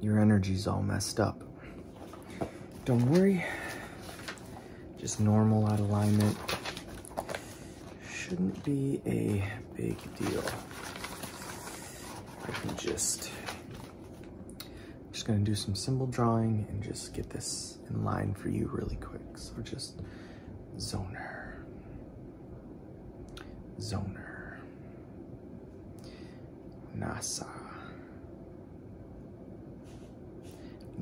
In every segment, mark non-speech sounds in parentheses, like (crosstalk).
Your energy's all messed up. Don't worry. Just normal out alignment. Shouldn't be a big deal. I can just just gonna do some symbol drawing and just get this in line for you really quick. So just zone her. Zoner, NASA,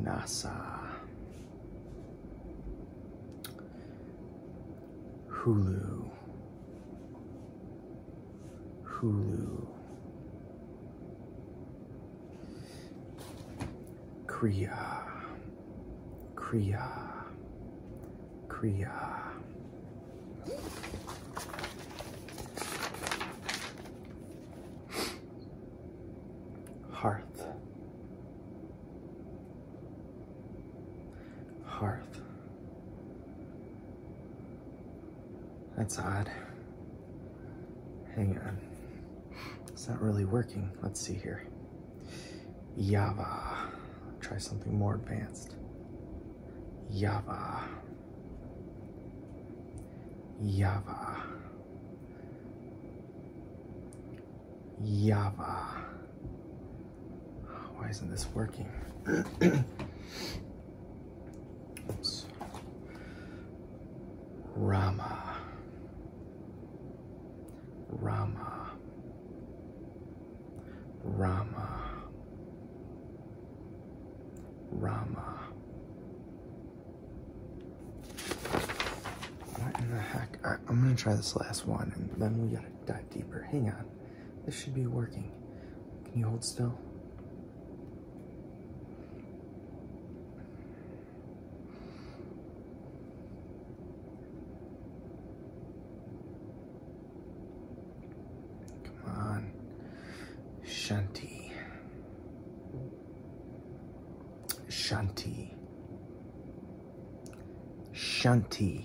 NASA, Hulu, Hulu, Korea. Kriya. Kriya. Hearth. Hearth. That's odd. Hang on. It's not really working. Let's see here. Java. Try something more advanced. Java. Java. Java. Why isn't this working? (coughs) Rama. Rama, Rama, Rama. What in the heck? I, I'm gonna try this last one and then we gotta dive deeper. Hang on. This should be working. Can you hold still? Come on, Shanti. Shanti. Shanti.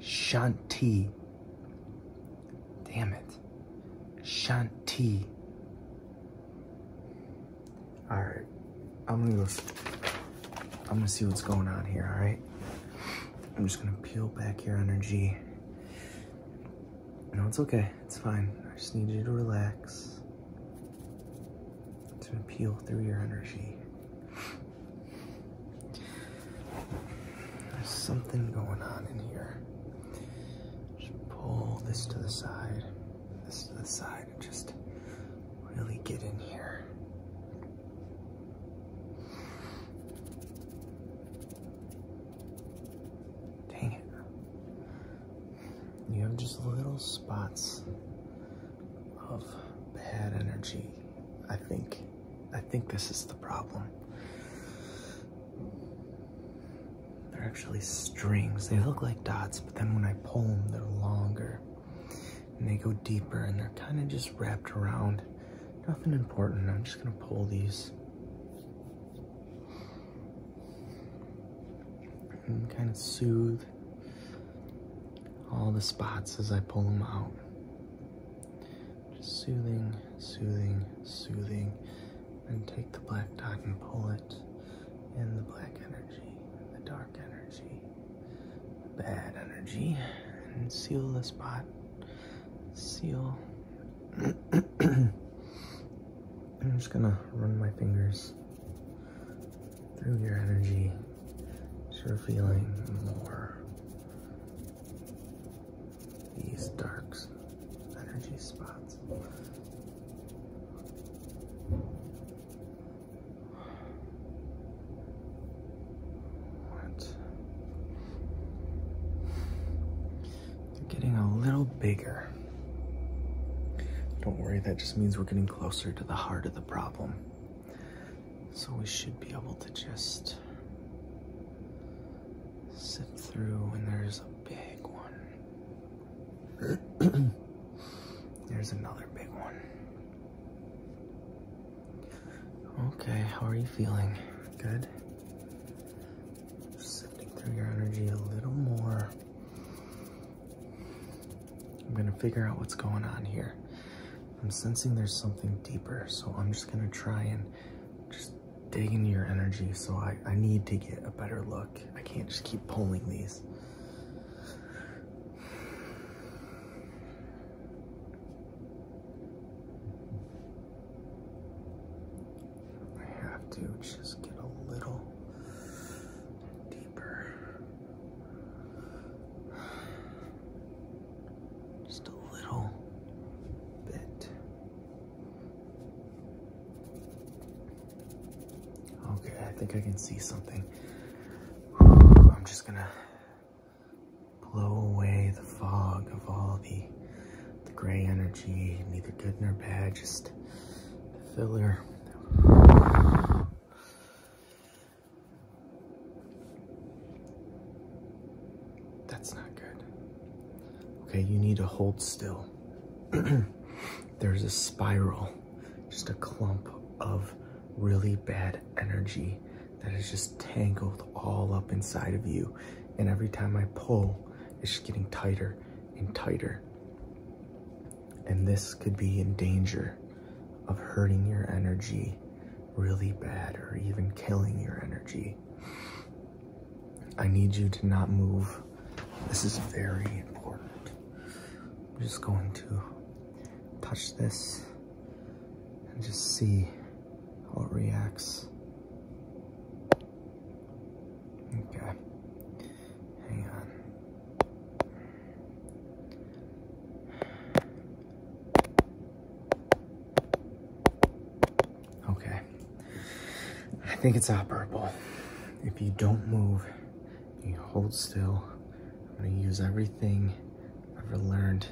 Shanti. Damn it. Shanti. All right, I'm gonna go. I'm gonna see what's going on here. All right, I'm just gonna peel back your energy. No, it's okay. It's fine. I just need you to relax. To peel through your energy. There's something going on in here. Just pull this to the side, this to the side, and just really get in here. Dang it. You have just little spots of bad energy. I think I think this is the problem. They're actually strings. They look like dots, but then when I pull them, they're longer. And they go deeper, and they're kind of just wrapped around. Nothing important. I'm just going to pull these. And kind of soothe all the spots as I pull them out. Just soothing, soothing, soothing. And take the black dot and pull it in the black energy, the dark energy, bad energy, and seal the spot. Seal. (clears throat) I'm just gonna run my fingers through your energy so you're feeling more these darks energy spots. What? They're getting a little bigger. Don't worry, that just means we're getting closer to the heart of the problem. So we should be able to just sip through, and there's a big one. (clears throat) there's another big one. Okay, how are you feeling? Good? Just through your energy a little more. I'm gonna figure out what's going on here. I'm sensing there's something deeper, so I'm just gonna try and just dig into your energy. So I, I need to get a better look. I can't just keep pulling these. I have to just get a little deeper. Just a little bit. Okay, I think I can see something. (sighs) I'm just gonna blow away the fog of all the the gray energy, neither good nor bad, just filler. That's not good. Okay, you need to hold still. (clears throat) There's a spiral, just a clump of really bad energy that is just tangled all up inside of you. And every time I pull, it's just getting tighter and tighter. And this could be in danger of hurting your energy really bad or even killing your energy. I need you to not move. This is very important. I'm just going to touch this and just see how it reacts. Okay. Hang on. Okay. I think it's operable. If you don't move, you hold still. I'm gonna use everything I've ever learned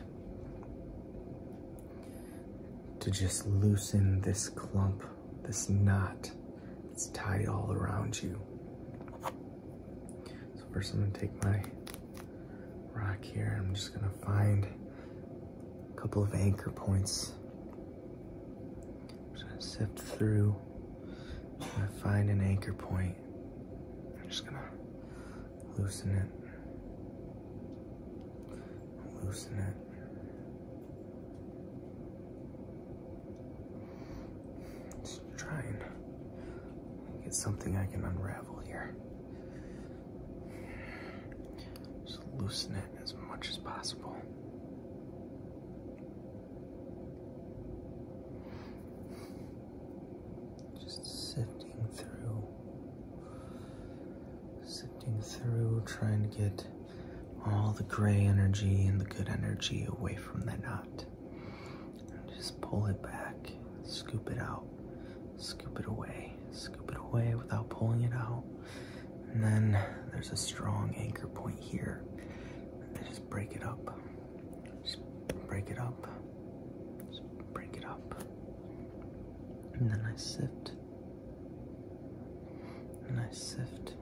to just loosen this clump, this knot that's tied all around you. So first I'm gonna take my rock here. I'm just gonna find a couple of anchor points. I'm just gonna sift through. gonna find an anchor point. I'm just gonna loosen it. Loosen it. Trying to get something I can unravel here. Just loosen it as much as possible. Just sifting through, sifting through, trying to get all the gray energy and the good energy away from the knot just pull it back, scoop it out, scoop it away, scoop it away without pulling it out. And then there's a strong anchor point here. And just break it up. break it up. break it up. And then I sift. And I sift.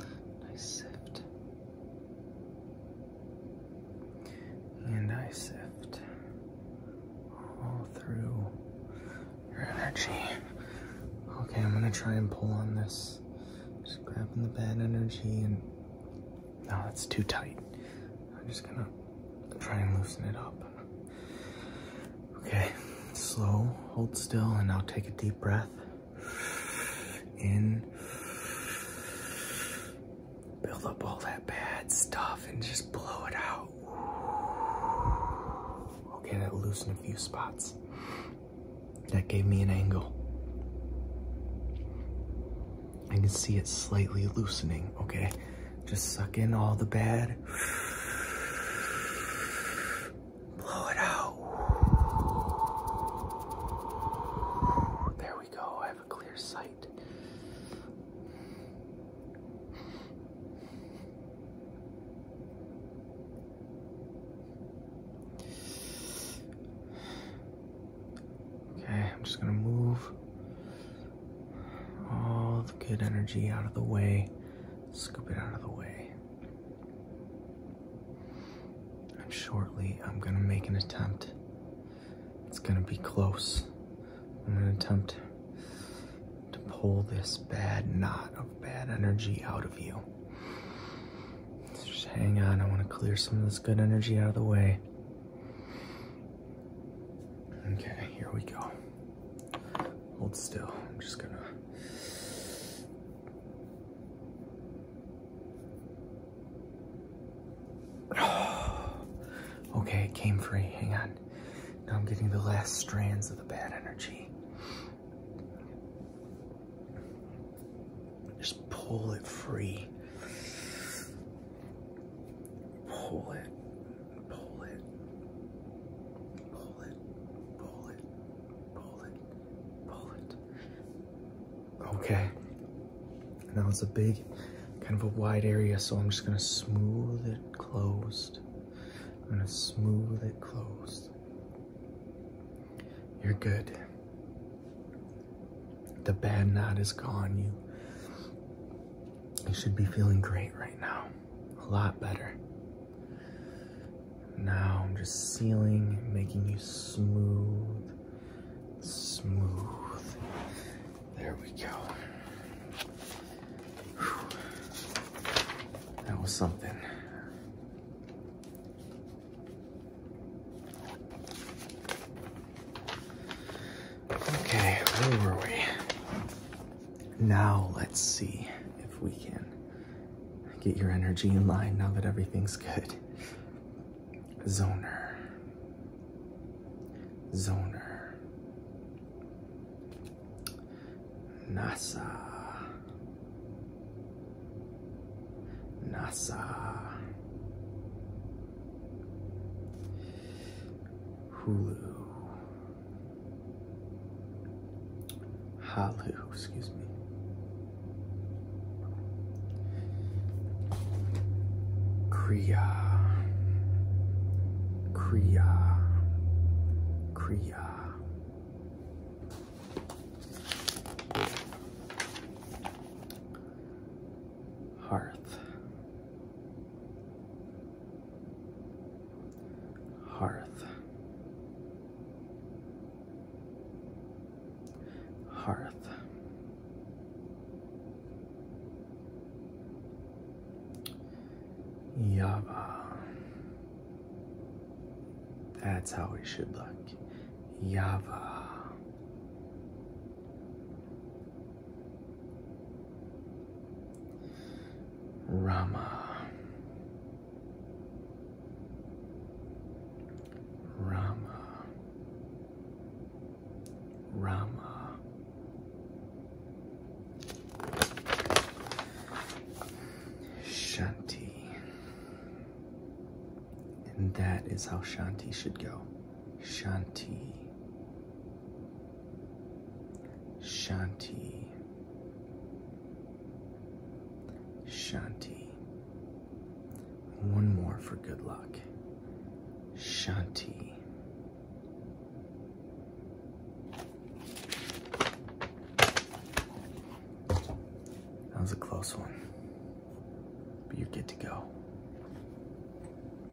I sift. And I sift all through your energy. Okay, I'm gonna try and pull on this. Just grabbing the bad energy and no, that's too tight. I'm just gonna try and loosen it up. Okay, slow, hold still, and I'll take a deep breath in. Build up all that bad stuff and just blow it out. Okay, that loosened a few spots. That gave me an angle. I can see it's slightly loosening, okay? Just suck in all the bad. Blow it out. There we go. I have a clear sight. Okay, I'm just going to move all the good energy out of the way. Scoop it out of the way. And shortly, I'm gonna make an attempt. It's gonna be close. I'm gonna attempt to pull this bad knot of bad energy out of you. just hang on, I wanna clear some of this good energy out of the way. Okay, here we go. Hold still. I'm just gonna. (sighs) okay, it came free. Hang on. Now I'm getting the last strands of the bad energy. Just pull it free. Pull it pull it, pull it, pull it, pull it, pull it. Okay, now it's a big, kind of a wide area, so I'm just gonna smooth it closed. I'm gonna smooth it closed. You're good. The bad knot is gone. You, you should be feeling great right now a lot better. Now I'm just sealing, making you smooth, smooth. There we go. That was something. Okay, where were we? Now let's see if we can get your energy in line now that everything's good. Zoner. Zoner. NASA. NASA. Hulu. Hallelujah, excuse me. Kriya. Kriya. Kriya. Hearth. Hearth. Hearth. Yava. That's how it should look. Yava. Rama. Rama. Rama. Shanti. And that is how Shanti should go. Shanti. Shanti. Shanti. One more for good luck. Shanti. That was a close one, but you're good to go.